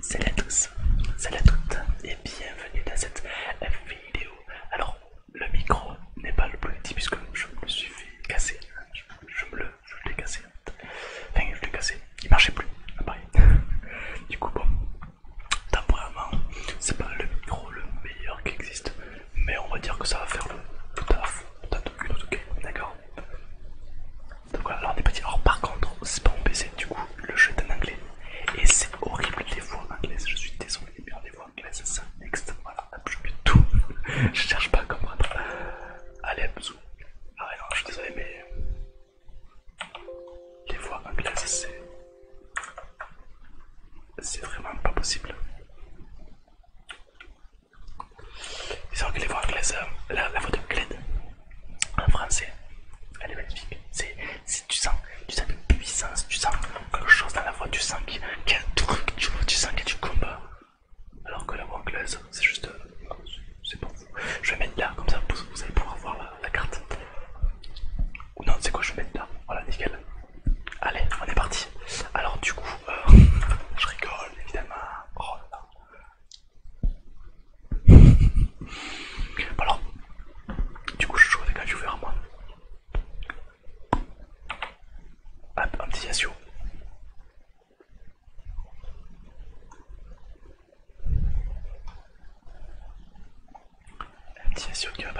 Salut à tous, salut à toutes et bienvenue dans cette vidéo. Alors le micro n'est pas le plus petit puisque je me suis fait casser. Je, me le je l'ai cassé. Enfin je l'ai cassé. Il ne marchait plus, après. du coup bon, Temporairement, c'est pas le micro le meilleur qui existe, mais on va dire que ça va faire le, tout taf, putain d'accord Donc voilà, alors on est pas Alors par contre, c'est pas mon PC, du coup, le jeu est en anglais, et c'est horrible les voix anglaises, je suis désolé, mais les voix anglaises, ça next, voilà, je mets tout, je cherche pas à comprendre. Allez, bisous. Ah non, je suis désolé, mais les voix anglaises, c'est. C'est vraiment pas possible. que les voix anglaises, euh, la, voix de Gled en français, elle est magnifique. tu sens, une puissance, tu sens quelque chose dans la voix, tu sens qu'il y a un truc, tu, sens qu'il y a du combat. Alors que la voix anglaise, c'est juste, euh, c'est pour Je vais mettre là, comme ça vous allez pouvoir voir la carte. Ou non, c'est quoi, je vais mettre là. Voilà, nickel. Allez, on est parti. Alors, du coup, euh, je rigole évidemment. Oh Alors, du coup, je joue avec un viewer moi. Un, petit L'utilisation qui va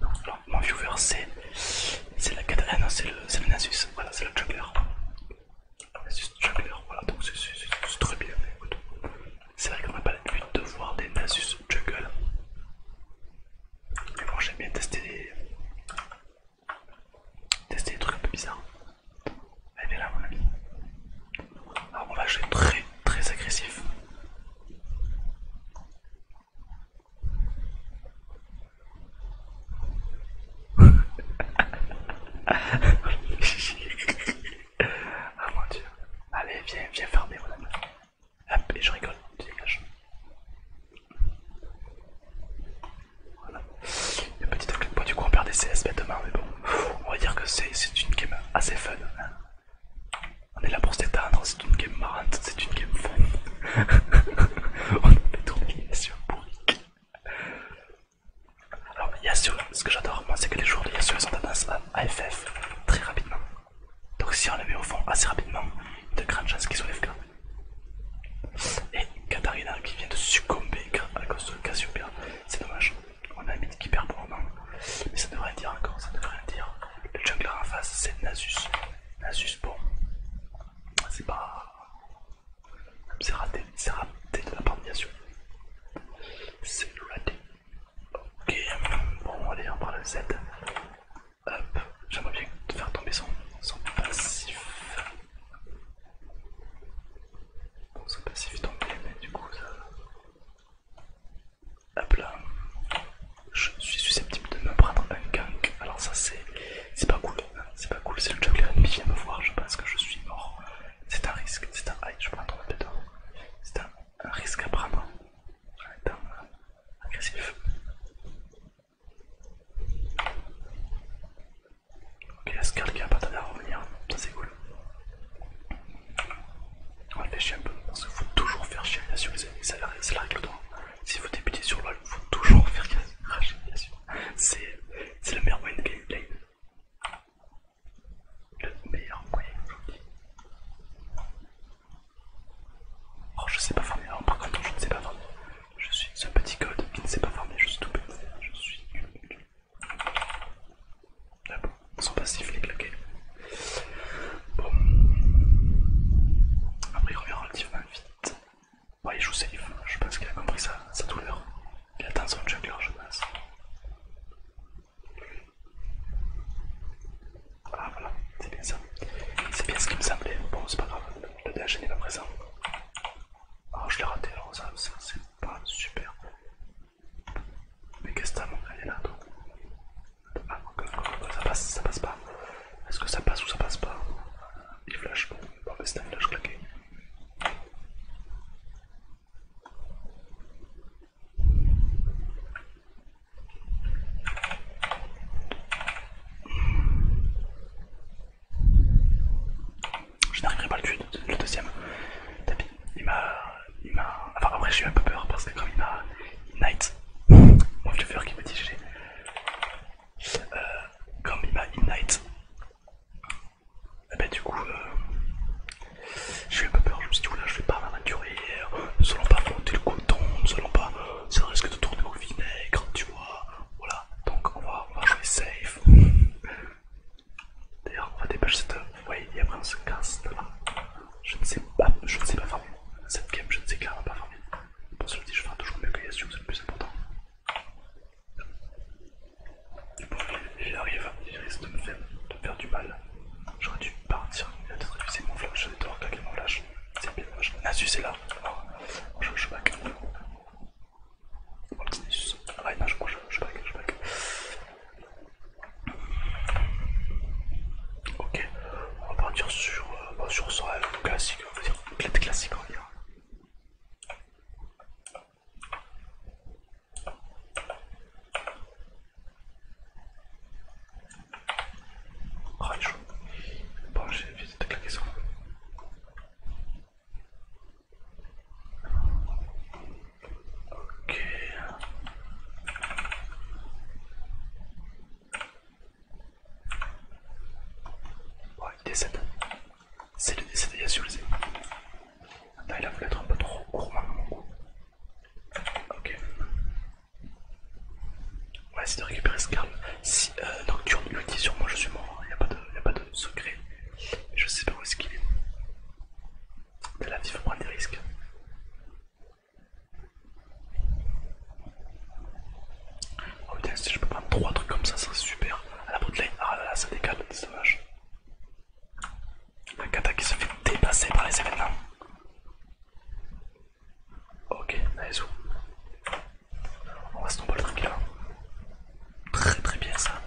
Donc Alors mon viewer c'est la ah non c'est le, le Nasus, voilà c'est le juggler. Nasus juggler, voilà donc c'est très bien, C'est vrai qu'on n'a pas l'habitude de voir des Nasus juggle. Mais bon j'aime bien tester des... tester des trucs un peu bizarres. Elle eh est là mon ami. Alors ah, on va jouer très très agressif. ah mon dieu. Allez viens, viens fermer mon ami. Hop et je rigole, tu dégages. Voilà. Le petit de bois du coup on perd des CS bêtement mais bon on va dire que c'est une game assez fun. On est là pour s'éteindre, c'est une game marrante, c'est une game fun. on fait tourner Yasuo bourrique. Alors Yasuo, ce que j'adore moi c'est que les joueurs de Yasuo ont tendance à AFF très rapidement. Donc si on les met au fond assez rapidement, il y a de grandes chances qu'ils soient FK. Et Katarina qui vient de succomber à cause de Cassiopeia, c'est dommage. On a un mythe qui perd pour moment, Mais ça devrait dire encore, ça devrait dire. Le jungler en face, c'est Nasus. Nasus, bon. C'est pas. C'est raté. C'est raté de la part de C'est raté. Ok. Bon, allez, on parle le Z. Hop. J'aimerais bien faire tomber son, son passif. Bon, son passif est tombé, mais du coup, ça. Hop là. Je suis susceptible de me prendre un gank. Alors ça c'est pas cool. C'est pas cool. C'est le juggler ennemi vient me voir, je pense que je suis mort. C'est un risque. C'est un... Aïe, je prends C'est un... risque à prendre. étant hein. agressif. Ok, la qui a pas tardé à revenir, ça c'est cool. On va le faire chier un peu, parce qu'il faut toujours faire chier bien sûr, les amis, c'est la, règle règle d'or. Si vous débutez sur LoL, il faut toujours faire bien sûr. C'est le meilleur moyen de gameplay. Le meilleur moyen, je dis. Oh, je sais pas former. alors par contre, je ne sais pas farmer. Je suis ce petit code qui ne sait pas farmer, je suis tout petit, je suis ah ils sont passifs les ok. Bon. Après il revient relativement vite. Ouais, il joue safe, je pense qu'il a compris sa, sa douleur. Il attend son jungler, je pense. Ah voilà, c'est bien ça. C'est bien ce qui me semblait. Bon, c'est pas grave, le DH n'est pas présent. Ah, je l'ai raté, alors ça, c'est pas super. Mais qu'est-ce que ça Elle est là, toi. Ah, ça passe, ça passe pas. Est-ce que ça passe ou ça passe pas Il flash, bon, c'est un flash claqué. Je n'arriverai pas le tuer, le deuxième. Tapis, il m'a il Enfin, après, j'ai eu un peu peur parce que, comme il m'a. moi night. Mon vieux qui m'a dit GG. comme euh, il m'a Ignite, et eh ben du coup, euh, j'ai eu un peu peur. Je me suis dit, je vais pas m'aventurer, euh, nous allons pas monter le coton, nous allons pas. Ça risque de tourner au vinaigre, tu vois. Voilà, donc on va jouer safe. D'ailleurs, on va dépêcher cette. Ouais, et après on se casse là. Je ne sais pas, je ne sais pas farmer. Cette game, je ne sais clairement pas farmer. Pour le dit, je ferai toujours mieux que Yasuo, c'est le plus important. Du coup, il arrive, il risque de me faire, du mal. J'aurais dû partir. Il a peut-être révisé mon flash, Je vais devoir caguer mon flash. C'est bien dommage. Nasus est là. Oh, je, suis back. Oh, petit Nasus. Ah, il je, je back, je back. Ok, on va partir sur, euh, bah, sur le classique, on va dire bouclette classique on va dire. Ah il est chaud. Bon j'ai vite de claquer ça. Ok. Ouais, il décède. C'est le décès de Yasulze. Attends, il a voulu être un peu trop court maintenant. Hein, ok. On va essayer de récupérer ce carme. Si euh, tu Nocturne dis sur moi, je suis mort. Hein. Il n'y a, a pas de secret. Je sais pas où est-ce qu'il est. De la vie faut prendre des risques. Oh putain, si je peux prendre trois trucs comme ça, ça serait super. À la bootline, ah là là, ça décale, c'est dommage La kata qui se fait dépasser par les événements. Ok, nice. On va se tomber là Très très bien ça.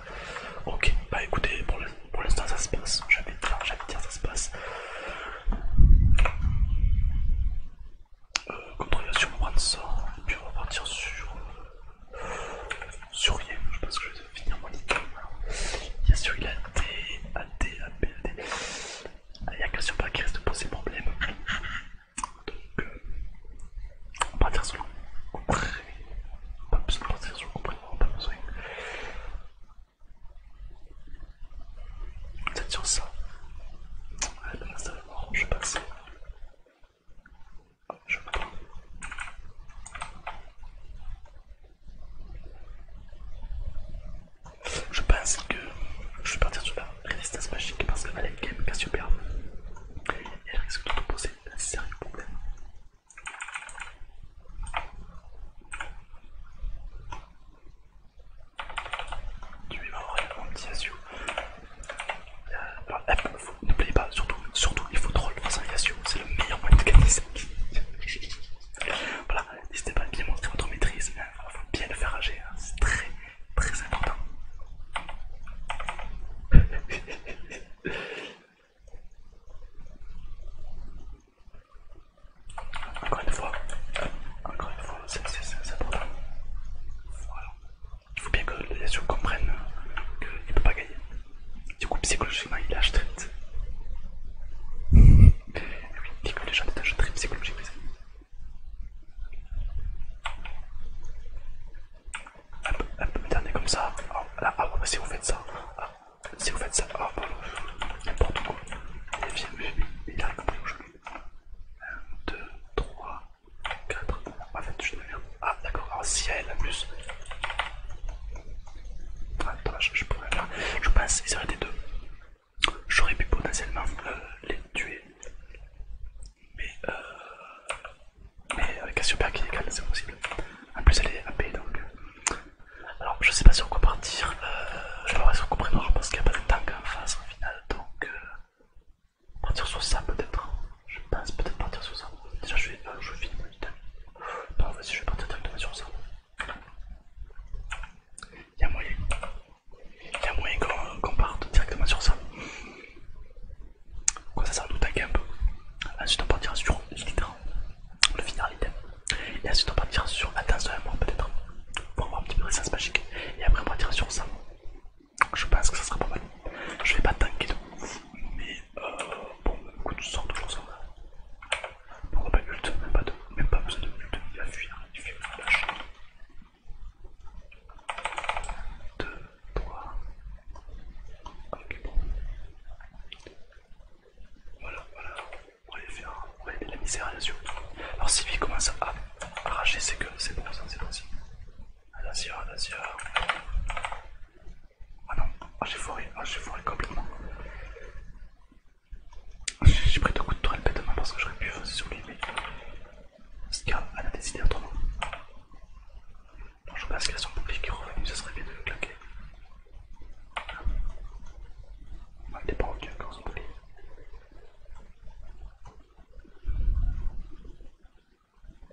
Ok, bah écoutez, pour pour l'instant ça se passe, J'avais dit ça se passe. Euh, il on a sur mon et puis on va partir sur... sur rien. je pense que je vais finir mon item. Il y a sur a D, B, A, D. Il n'y a qu'un sur pas qui reste poser problème. Donc, euh, on va partir sur le pas besoin de partir sur le compréhension, pas besoin. Peut-être sur ça. je Je pense que je vais partir sur la résistance magique parce qu'elle est quand même Cassiopeia. Elle risque de te poser un sérieux problème. Tu vas avoir une petit euh, eh, asio. ne N'oubliez pas, surtout, surtout il faut troll face à Yasio, c'est le meilleur moyen de gagner ça. voilà, n'hésitez pas à bien montrer votre maîtrise, il hein. faut bien le faire agir, hein. c'est très très important. Encore une fois, encore une fois, c'est important. Il faut bien que les gens comprennent qu'il ne peut pas gagner. Du coup, psychologiquement, il lâche très vite. Et oui, des que les gens détachent très psychologiquement, Hop, peu dernier comme ça. Ah, là, ah ouais, si vous faites ça, ah, si vous faites ça, oh, n'importe quoi. il a compris où je 1, 2, 3, 4. En fait, je Ah d'accord, si elle a Ah je pourrais faire. Je pense, ils auraient été deux. J'aurais pu potentiellement euh, les tuer. Mais euh. Mais avec qui est c'est impossible. En plus elle est AP donc. Alors, je sais pas sur quoi partir. partir, je sais pas si on euh, parce qu'il n'y a pas de tank en face au final donc euh, partir sur ça peut-être. Je pense peut-être partir sur ça. Déjà, je vais euh, finir je temps. mon item. Non, vas-y, je vais partir directement sur ça. Il y a moyen, il y a moyen qu'on parte directement sur ça. Quoi ça sert à nous tanker un peu. Ensuite on partira sur l'hydra le finir l'item. Et ensuite on partira sur la danse de peut-être. Pour avoir un petit peu de récence magique Et après on partira sur ça. Je pense que ça sera pas mal. Je vais pas tanker de mais bon euh, bon, écoute, tu sors toujours ça. Pourquoi pas ult même pas, même pas besoin de ult, il va fuir, il fuit le 1, 2, 3. Ok, bon. Voilà, voilà. On va aller faire on la misère, bien sûr. Alors, si lui commence à arracher ses que c'est bon, ça, c'est aussi. Attention, attention. Ah non, ah, j'ai foiré, ah, j'ai foiré complètement. J'ai pris deux coups de tourelle bêtement parce que j'aurais pu faire euh, sur lui, mais. cas, elle a décidé autrement y a son sont qui qui revenu, ça serait bien de le claquer. il ah, n'est pas revenu encore son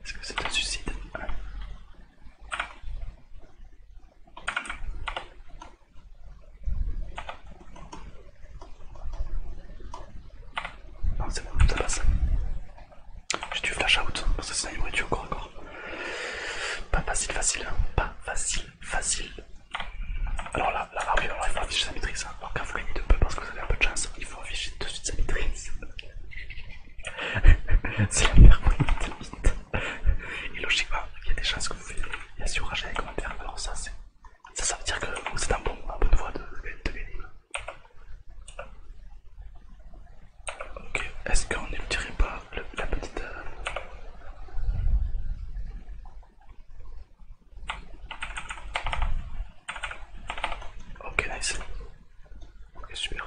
Est-ce que c'est un suicide Non, c'est bon, tout ça passe. J'ai dû flash out parce que ça il m'aurait encore encore. Pas facile, facile, hein. pas facile, facile. Alors là, là, là, il faut afficher sa maîtrise. Hein. Alors quand vous gagnez de peu parce que vous avez un peu de chance, hein. il faut afficher tout de suite sa maîtrise. C'est la meilleure limite. Et logiquement, il y a des chances que vous y Il y a les commentaires. Alors ça, c'est. Ça, ça veut dire que vous êtes en bonne voie de, de gagner. Ok, est-ce qu'on ne dirait pas la petite... Euh, ok, nice. Ok, super.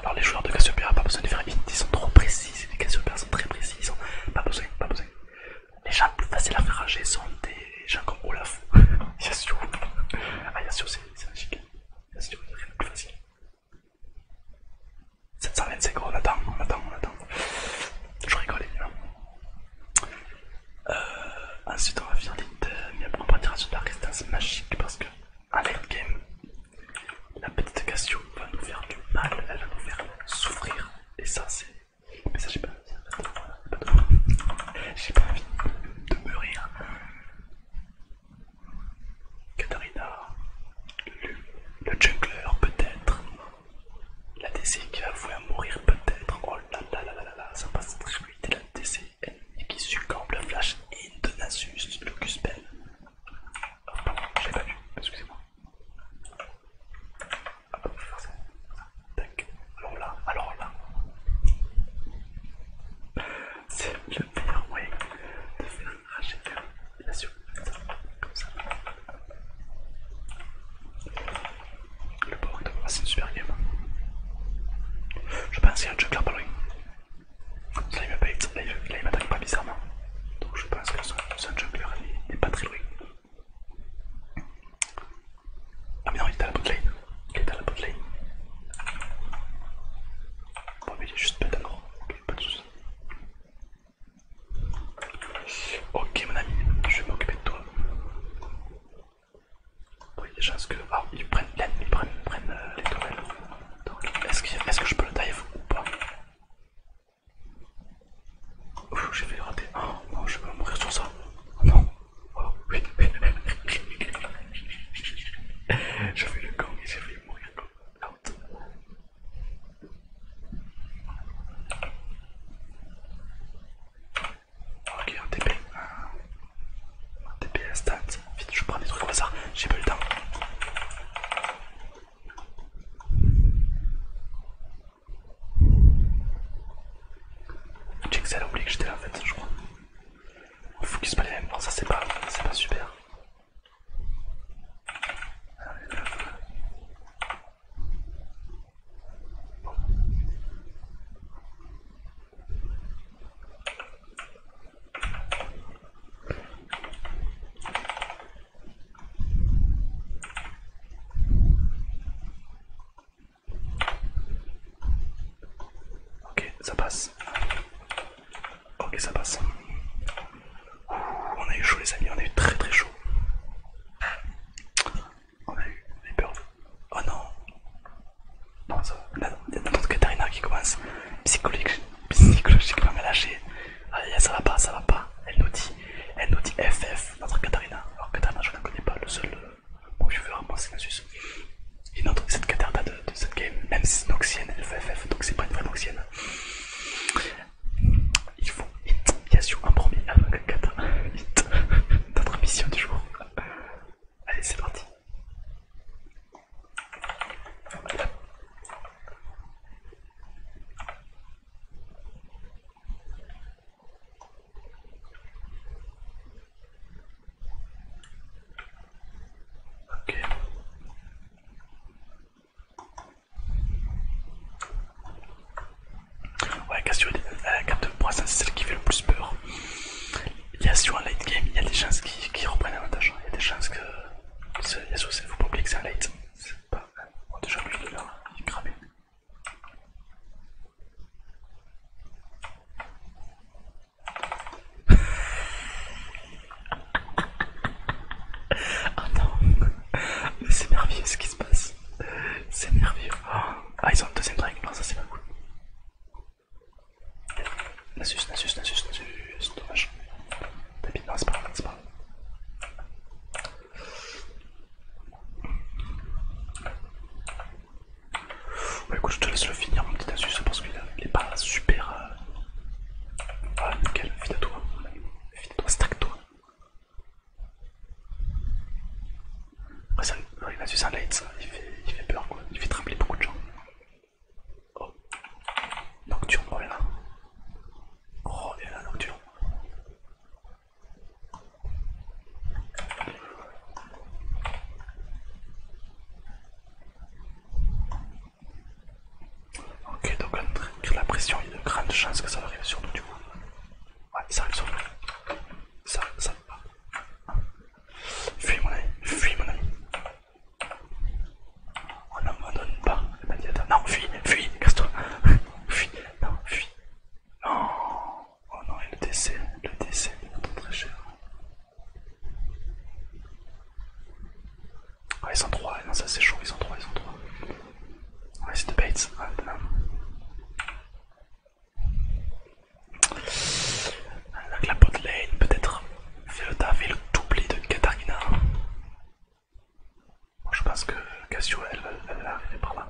Alors les joueurs de Cassiopeia, pas besoin de faire ils sont trop précis, les Cassiopeia sont très précis, ils sont pas besoin, pas besoin. Les gens plus faciles à faire rager sont des gens comme Olaf, Yasuo. Ah sûr, c'est un magique. 720 Là, si on attend, on attend, on attend. Je rigole évidemment. Euh, ensuite, on va finir l'Inter, mais après, on sur la résistance magique parce que, en late game, la petite Cassio va nous faire du mal, elle va nous faire souffrir. Et ça, c'est. Mais ça, j'ai pas envie. de pas envie de mourir Katarina, le jungler peut-être, la DC qui va à mourir peut-être, oh là là là là là, ça passe très vite, la DC qui succombe le flash in de le Cuspel. Oh, pardon, je l'ai pas vu, excusez-moi. Ah, tac, alors là, alors là. C'est le meilleur moyen de faire arracher la surface comme ça. Le port c'est une super game. Je pense qu'il y a un juggler pas loin. Là il m'attaque pas bizarrement. Donc je pense que son juggler n'est pas très loin. Ah mais non, il est à la bot Il est à la bot Bon, mais il est juste bête alors. Ok, pas de soucis. Ok, mon ami, je vais m'occuper de toi. Oui, déjà, ce que. Ah, ils prennent, ils prennent, ils prennent euh, les tourelles. est-ce est que je peux le dive ou pas Ouf, j'ai fait rater. Oh, non, je vais mourir sur ça. Non. Je fais le gang et j'ai fait mourir comme Ok, un TP. Un TP à stats. Vite, je prends des trucs au hasard. J'ai pas le temps. J'ai ça a oublié que j'étais là en fait, je crois. Il faut qu'il se balaye, même ça c'est pas, c'est pas super. Ok, ça passe. Ok, ça passe. on a eu chaud les amis, on a eu très très chaud. On a eu les peurs. Oh non. Non, ça va. Notre Katarina qui commence psychologiquement à lâcher. Ah, ça va pas, ça va pas. Elle nous dit, elle nous dit FF, notre Katarina. Alors Katarina, je ne connais pas, le seul euh, Bon, je veux vraiment la Suisse. Et cette Caterda de, de, cette game, même si c'est Noxienne, elle fait FF, donc c'est pas une vraie Noxienne. Il faut hit sûr, en premier avant que Kata notre mission du jour. Allez, c'est parti. Ok. Ouais, Cassio, la carte de points, c'est celle qui fait le plus peur. Il y a sur un late game, il y a des chances qui, qui reprennent l'avantage. Hein. Il y a des chances que. Il y a sur faut pas oublier que c'est un late. C'est pas. On déjà lui de là, il est cramé oh non, mais c'est merveilleux ce qui se passe. C'est merveilleux. Oh. Ah, ils ont le deuxième non, ça c'est pas cool. Nasus, Nasus, Nasus, Nasus, dommage. Tapis, non, c'est pas c'est pas bah écoute, je te laisse le finir, mon petit astuce, parce qu'il est pas super. Voilà, euh, ah, nickel, finis à toi. finis toi, stack toi. Ouais, ça, il a un light, ça. Il fait, peur, quoi. Il fait trembler beaucoup de gens. Oh. Nocturne, oh là Oh, il y a nocturne. Ok, donc la pression, il y a de grandes chances que ça arrive sur nous du coup. Ouais, ça arrive sur nous. Ça, ça pas. Fuis mon ami, fuis mon ami. On n'abandonne pas Non, fuis, fuis, casse-toi. fuis, non, fuis. Non. Oh non, et le décès, le décès, il est très cher. Ah ils sont trois, non, ça c'est chaud, ils sont 3, ils sont trois. Ouais, c'est de Bates, ouais, ah, Donc la bot lane peut-être fait le taf et doublé de Katarina. je pense que Cassio elle, elle va arriver par là.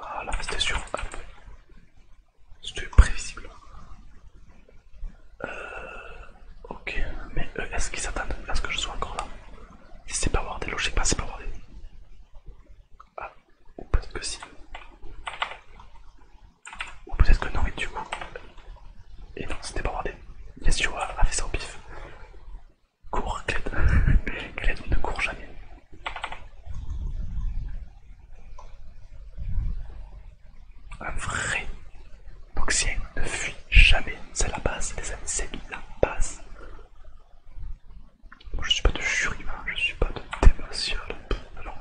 Voilà, ah, c'était sûr. C'était prévisible. Euh, ok, mais euh, est-ce qu'ils s'attendent à ce que je sois encore là c'est pas wardé, logique pas, c'est pas wardé. Ah, ou peut-être que si. Ou peut-être que non, et du coup. Et non, c'était pas wardé. Yes, you a fait ça au pif. Cours, Kled Cled, ne court jamais. Un vrai boxien ne fuit jamais. C'est la base, des amis, c'est la base. Je je suis pas de jury, hein. je ne suis pas de démation. Non,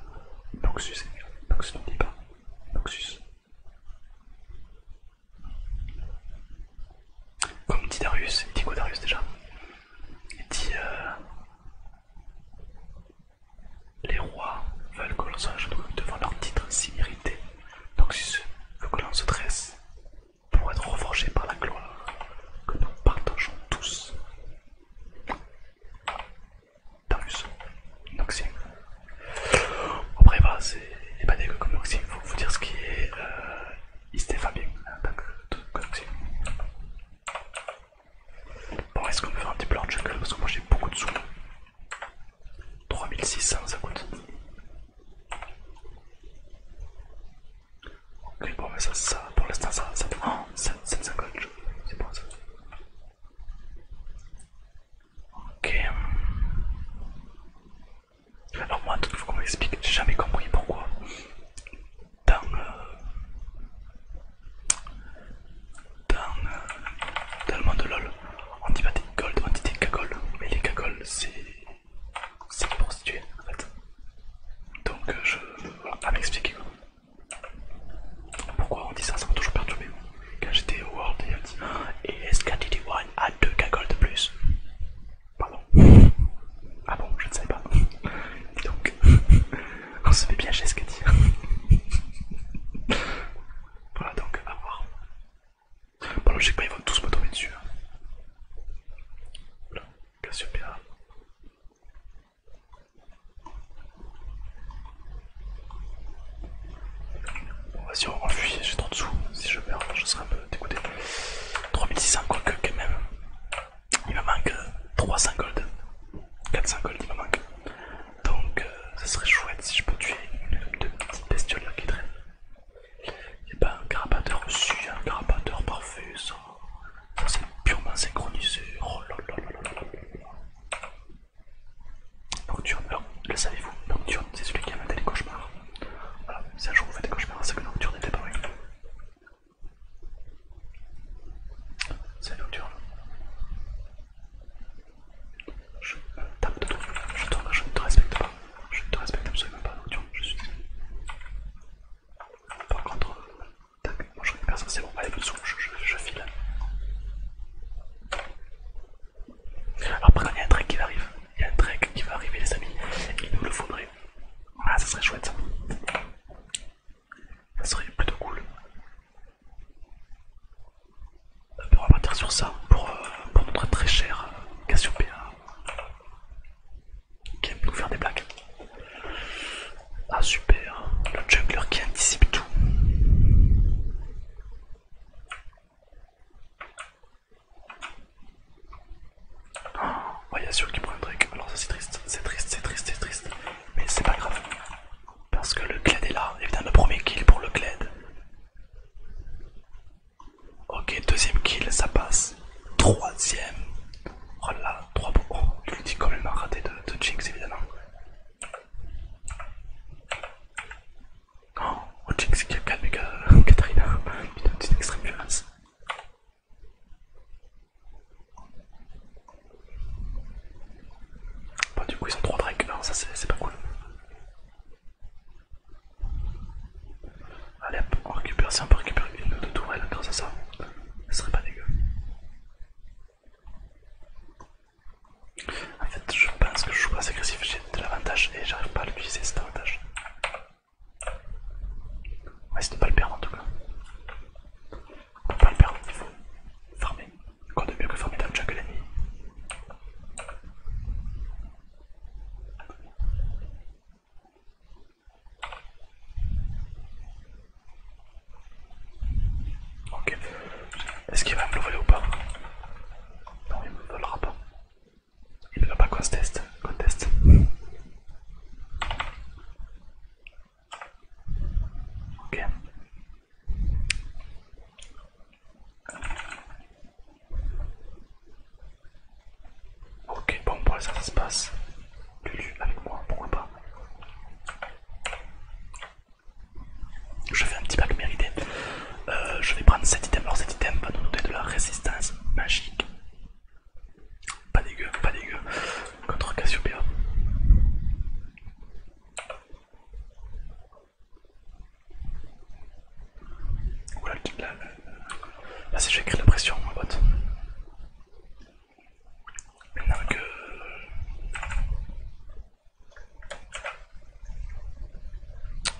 Noxus, Noxus ne dit pas. Noxus. Comme dit Darius, il dit quoi Darius déjà Il dit euh, les rois veulent que l'on genoux devant leur titre si mérité, donc si veut que l'on se dresse pour être reforgé par la gloire que nous partageons tous. T'as vu ça Après, voilà, bah, c'est pas dégueu comme il faut vous dire ce qui est. Euh, bien, Bon, est-ce qu'on peut faire un petit plan de jungle Parce que moi j'ai beaucoup de sous. 3600 ça coûte. Ok, bon, mais ça, pour l'instant, ça, ça oh, 750. C'est bon ça. Ok. Alors, moi, il faut qu'on m'explique, j'ai jamais compris pourquoi dans, dans, le monde de LOL, on dit pas des gold, on dit des cagoles, mais les cagoles c'est des prostituées en fait. Donc euh, je. Voilà, à m'expliquer pourquoi on dit ça, ça m'a toujours perturbé. Quand j'étais au World, il a dit Et est-ce Wine a deux cagoles de plus Pardon. Ah bon, je ne savais pas. Donc, on oh, se fait bien j'ai ce qu'elle dit. voilà donc, à voir. Bon, là, ils vont tous me tomber dessus. Hein. Voilà, Cassiopeia. Bon, vas-y, on j'ai trop de sous. Si je meurs, je serai un peu dégoûté. 3600, quoique, quand même. Il me manque 300 euh, gold. 400 gold il me manque. Donc ça euh, ce serait chouette si je peux tuer une de deux petites bestioles là qui traînent. a pas un carapateur aussi, un carapateur parfait, ça, c'est purement synchronisé. Oh alors le savez-vous, Nocturne c'est celui qui a inventé les cauchemars. Voilà, si un jour vous faites des cauchemars, c'est que Nocturne n'était pas vrai. C'est nocturne. Je tape Je je ne te respecte pas. Je ne te respecte absolument pas, nocturne. Je suis. Par contre, tac, moi je récupère ça, c'est bon. Allez, dessous, je, file. Alors file. Après, il y a un trek qui va arriver. Il y a un trek qui va arriver, les amis. Il nous le faudrait. Ah, ça serait chouette. Ça serait plutôt cool. On va partir sur ça pour, euh, notre très cher euh, Cassiopeia hein, qui aime nous faire des blagues. Ah super, le jungler qui anticipe tout. Oh, il y a sûr qui prend un trick, alors ça c'est triste, c'est triste, c'est triste, c'est triste mais c'est pas grave. Parce que le Cled est là, évidemment, premier kill pour le Kled. Ok, deuxième kill, ça passe. Troisième. Oh trois pour. Oh, je lui dis quand même raté de, Jinx, évidemment. Oh, oh Jinx qui a calmé Katarina. une une extrême violence. Bon, du coup, ils ont 3 dragons. ça c'est pas cool. Allez, on récupère. Si on peut récupérer une ou deux tourelles grâce à ça, ce serait pas dégueu. En fait, je pense que je joue pas assez agressif. J'ai de l'avantage et j'arrive pas à l'utiliser cet avantage. On va essayer de pas le perdre en tout cas. On peut pas le perdre, il faut farmer. Quand de mieux que farmer le la nuit Ok. Est-ce qu'il va me voler ou pas Non, il me volera pas. Il ne va pas qu'on se teste. Qu'on teste. Ok. Ok, bon, pour ça, ça se passe. Lulu avec moi, pourquoi pas. Je fais un petit pack mérité. Euh, je vais prendre cet item. Alors, cet item va nous donner de la résistance magique. Pas dégueu, pas dégueu contre Cassiopeia. Oula, là, la. je vais créer la pression, ma botte Maintenant que.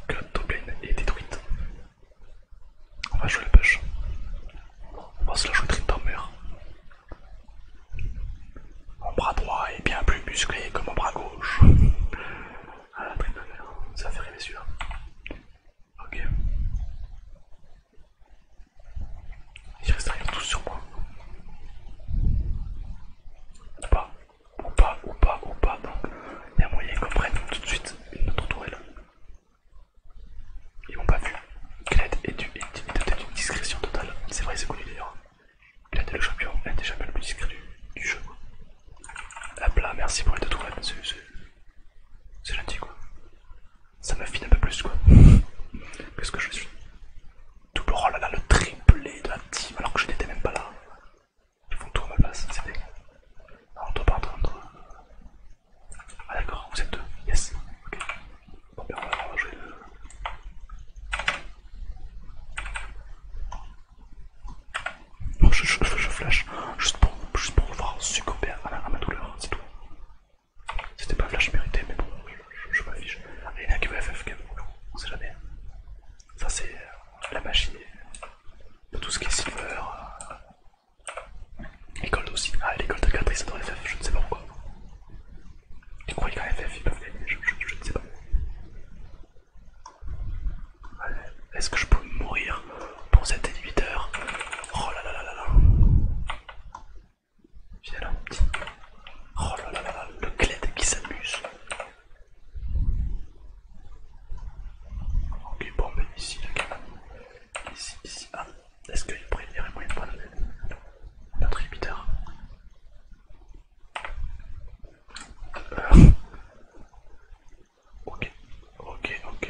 que la est détruite, on va jouer le push. On va se la jouer Trindamer. Mon bras droit est bien plus musclé que mon bras gauche. Ah la triangle, ça fait rêver sûr. Ok. Ils rien tous sur moi. Ou pas, ou pas, ou pas, ou pas. Donc il y a moyen qu'on prenne tout de suite notre tourelle. Ils m'ont pas vu. Kled est, d'une discrétion totale. C'est vrai, c'est connu d'ailleurs. Kled est le champion, est jamais le plus discret du, jeu. Hop là, merci pour les deux tatouages, c'est gentil quoi. Ça m'affine un peu plus quoi. Qu'est-ce que je suis Double oh là le triplé de la team alors que je n'étais même pas là. Ils font tout à ma place, c'est dégueulasse on doit pas entendre. Ah d'accord, vous êtes deux, yes, ok on va jouer le. Non, je, flash juste pour, juste voir succomber à ma, douleur, c'est tout. C'était pas flash mérité, mais bon, je, je, m'affiche. Il y en a qui veut FFK, on sait jamais. Ça, c'est euh, la magie de tout ce qui est silver. L'école euh, aussi. Ah, l'école de 4 adorent FF, je ne sais pas pourquoi. Tu crois qu'un FF ils peuvent gagner je, je ne sais pas. Allez, Est-ce que je peux mourir pour cet inhibiteur Oh là là là là là Viens là petit. Oh là là là là, le cled qui s'amuse. Ok, bon, mais ici, la cabane. Ici, ici, ah, est-ce qu'il y aurait moyen de prendre notre émetteur Ok, ok, ok.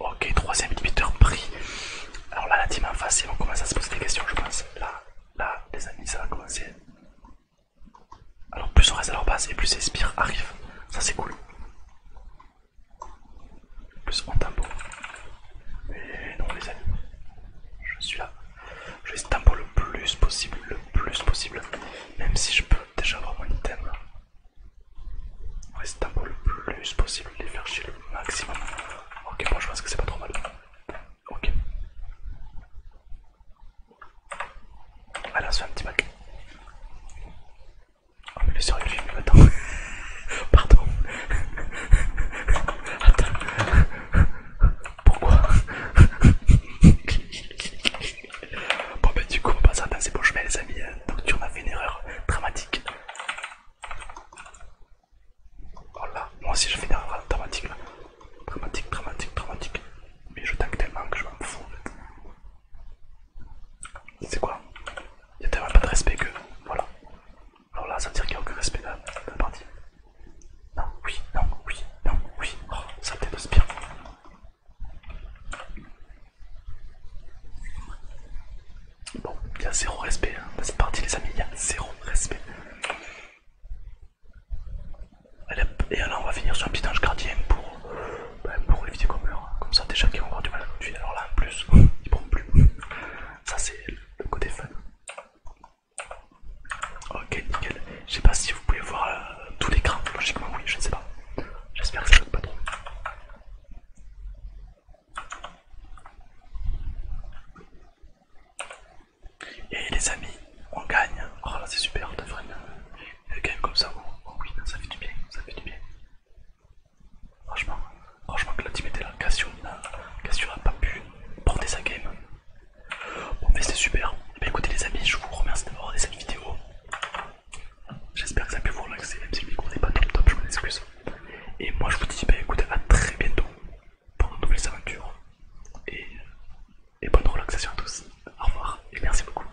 Ok, troisième inhibiteur pris. Alors là, la team en face, ils vont à se poser des questions, je pense. Là, là, les amis, ça va commencer. Alors, plus on reste à leur base et plus les spires arrivent. Ça, c'est cool. Plus en tempo. Mais non les amis. Je suis là. Je vais tempo le plus possible. Le plus possible. Même si je peux déjà avoir mon item. Ouais, c'est le plus possible, les faire chier le maximum. Ok, moi bon, je pense que c'est pas trop mal. Ok. Allez, on se fait un petit bac. Oh, mais le sérieux, le film, attends. Pardon. Attends. Pourquoi Bon bah du coup on passe à danser bon chemin ben, les amis. Hein, donc tu en fait une erreur dramatique. Oh là, moi aussi j'ai fait une erreur dramatique là. Dramatique, dramatique, dramatique. Mais je tank tellement que je m'en fous en C'est quoi Il y a tellement pas de respect que... Voilà. Alors là, ça veut dire qu'il n'y a aucun respect de la, partie. Non, oui, non, oui, non, oui. Oh, ça peut-être Bon, il y a zéro respect hein, dans cette les amis. Il y a zéro respect. et alors, on va finir sur un petit ange gardien pour, ben, pour éviter qu'on meure. Comme ça, déjà qui ont encore du mal à continuer. Alors là, en plus, ils prennent plus. Ça c'est le côté fun. Ok, nickel. Je sais pas si vous pouvez voir euh, tout l'écran. Logiquement, oui, je ne sais pas. J'espère que ça ne pas trop. Et les amis, on gagne. Oh là, c'est super de vraiment euh, gagner comme ça. Oh, oui, ça fait du bien, ça fait du bien. Franchement, franchement que la team était là. Cassio n'a pas pu porter sa game. Bon, mais c'est super. Eh ben, écoutez, les amis, je vous remercie d'avoir regardé cette vidéo. J'espère que ça a pu vous relaxer, même si le micro n'est pas top top, je m'en excuse. Et moi, je vous dis, ben, à très bientôt pour de nouvelles aventures. et bonne relaxation à tous. Au revoir et merci beaucoup.